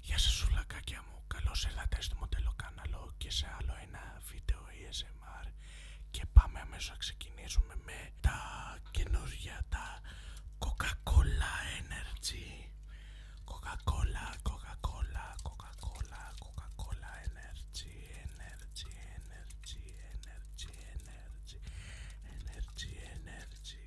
Γεια σας σουλακάκια μου, καλώς ήρθατε στο μοντέλο καναλό και σε άλλο ένα βίντεο ASMR και πάμε αμέσως να ξεκινήσουμε με τα καινούργια τα Coca-Cola Energy Coca-Cola, Coca-Cola, Coca-Cola, Coca-Cola Energy, Energy, Energy, Energy, Energy, Energy, Energy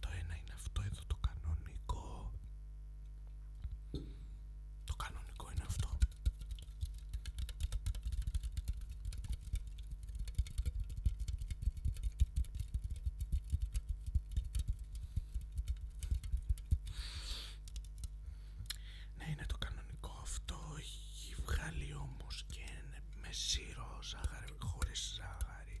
το ένα είναι αυτό εδώ το κανονικό. Το κανονικό είναι αυτό. Ναι, είναι το κανονικό αυτό. Έχει βγάλει όμω και με σίρο ζάχαρη, χωρί ζάχαρη.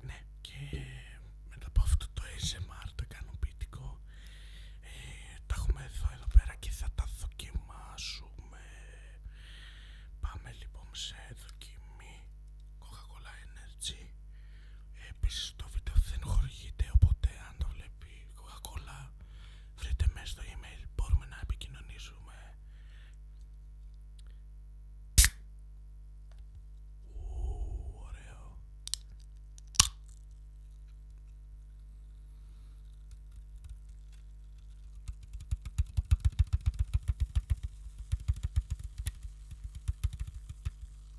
Ναι, και μετά από αυτό το ASMR, το ικανοποιητικό, ε, τα έχουμε εδώ, πέρα και θα τα δοκιμάσουμε. Πάμε λοιπόν σε δοκιμή Coca-Cola Energy. Ε, επίσης το βίντεο δεν χορηγείται, οπότε αν το βλέπει Coca-Cola βρείτε μέσα στο email μπορούμε να επικοινωνήσουμε ωραίο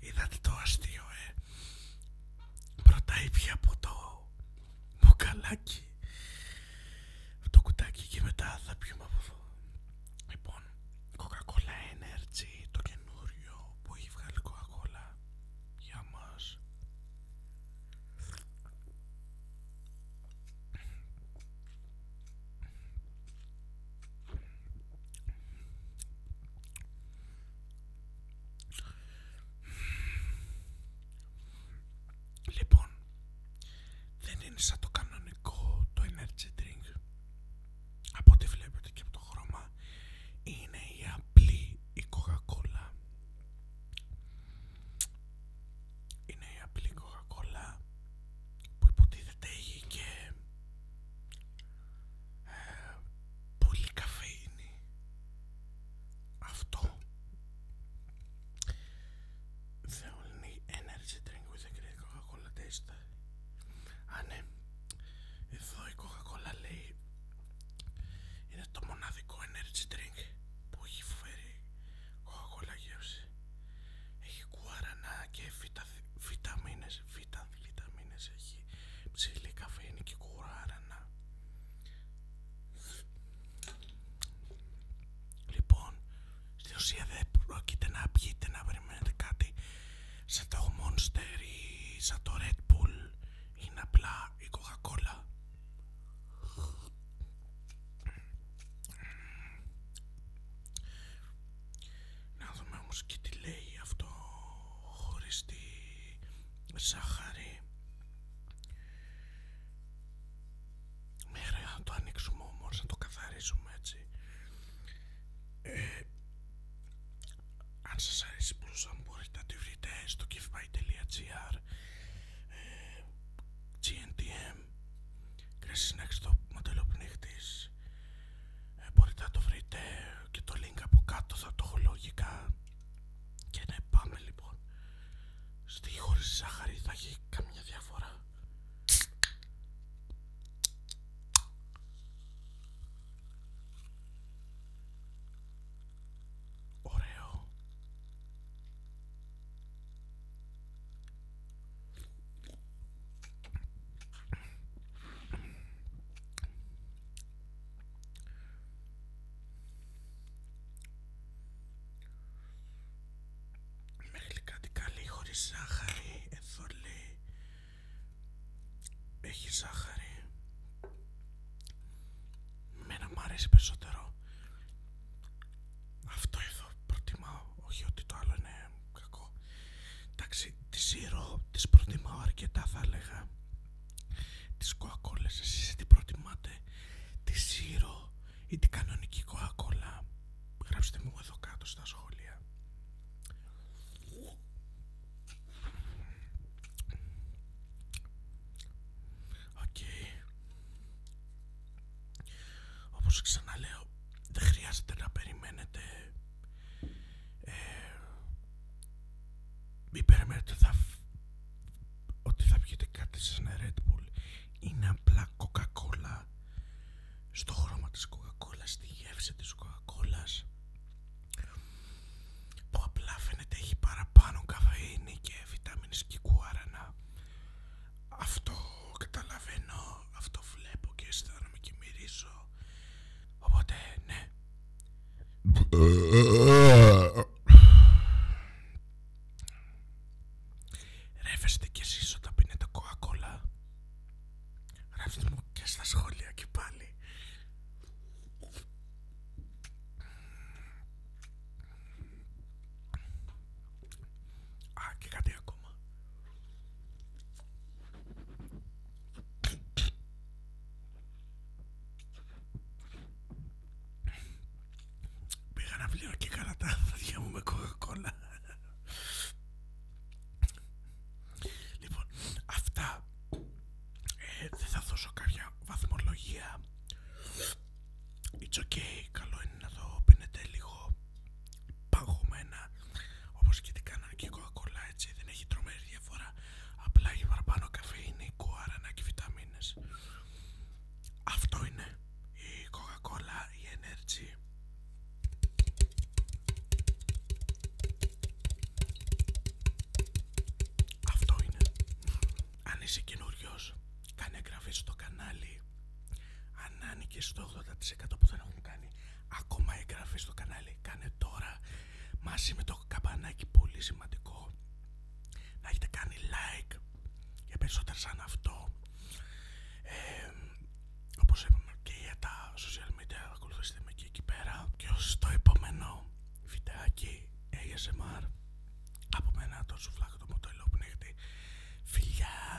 Ητα το αστείο ε. Πρωτά ήπια από το μουκαλάκι αυτό κουτάκι και μετά θα πιούμε από φω. Κοκακολά λοιπόν, coca Coca-Cola Energy το καινούριο που έχει βγάλει Coca-Cola για μας Λοιπόν, δεν είναι σαν το κανονικό το energy drink από ό,τι βλέπετε και από το χρώμα είναι η απλή η coca είναι η απλή Coca-Cola που υποτίθεται έχει και ε, πολύ καφέινη αυτό The only energy drink with the great Coca-Cola taste. Α, ναι. Εδώ η Coca-Cola λέει είναι το μοναδικό energy drink που έχει φέρει Coca-Cola γεύση. Έχει κουαρανά και βιτα, βιταμίνες, βιτα, βιταμίνες έχει ψηλή καφέινη και κουαρανά. Λοιπόν, στη ουσία δεν πρόκειται να πιείτε να περιμένετε κάτι σαν το Monster ή σαν το Red Bull είναι απλά η Coca-Cola. Να δούμε όμως και τι λέει αυτό χωρίς τη ζάχαρη. Μέχρι να το ανοίξουμε όμως, να το καθαρίσουμε έτσι. Ε, αν σας αρέσει πλούσα, μπορείτε να τη βρείτε στο givebuy.gr ε, GNTM Κρέσεις να το μοντέλο ε, μπορείτε να το βρείτε και το link από κάτω θα το έχω λογικά και να πάμε λοιπόν. Στη χωρίς ζάχαρη θα έχει καμία διαφορά. Ωραίο. Μέχρι κάτι καλή χωρίς ζάχαρη, εδώ έχει ζάχαρη. Μένα μου αρέσει περισσότερο. Αυτό εδώ προτιμάω, όχι ότι το άλλο είναι κακό. Εντάξει, τη ζύρο τις προτιμάω αρκετά θα έλεγα τις κοακόλες εσείς τι προτιμάτε τη σύρο ή την κανονική κοακόλα γράψτε μου εδώ κάτω στα σχόλια Οκ Όπως ξαναλέω δεν χρειάζεται να περιμένετε ε, μην περιμένετε ότι θα, ότι θα πιείτε κάτι σαν Red Bull. Είναι απλά Coca-Cola. Στο χρώμα της Coca-Cola, στη γεύση της Coca-Cola. Που απλά φαίνεται έχει παραπάνω καφέινη και βιτάμινες και κουάρανα. Αυτό καταλαβαίνω, αυτό βλέπω και αισθάνομαι και μυρίζω. Οπότε ναι, Ρεύεστε κι εσείς όταν πίνετε κοακόλα. Γράψτε μου και στα σχόλια και πάλι. Α, και κάτι ακόμα. Πήγα να πλήρω και έκανα τα άδεια μου με κοκακόλα. Λοιπόν, αυτά ε, δεν θα δώσω κάποια βαθμολογία. It's okay, καλό είναι να το πίνετε λίγο παγωμένα όπως και την κανονική κοκακόλα έτσι δεν έχει τρομερή διαφορά απλά έχει παραπάνω καφέινη, κουάρανα και βιταμίνες αυτό είναι η κοκακόλα, η energy αυτό είναι αν είσαι καινούριος κάνε εγγραφή στο κανάλι αν άνοιγες στο 80% που δεν έχουν κάνει ακόμα εγγραφή στο κανάλι κάνε τώρα μαζί με το καμπανάκι πολύ σημαντικό να έχετε κάνει like για περισσότερα σαν αυτό όπως είπαμε και για τα social media ακολουθήστε με και εκεί πέρα και ως το επόμενο βιντεάκι ASMR από μένα το σουφλάκι το μοτελό γιατί φιλιά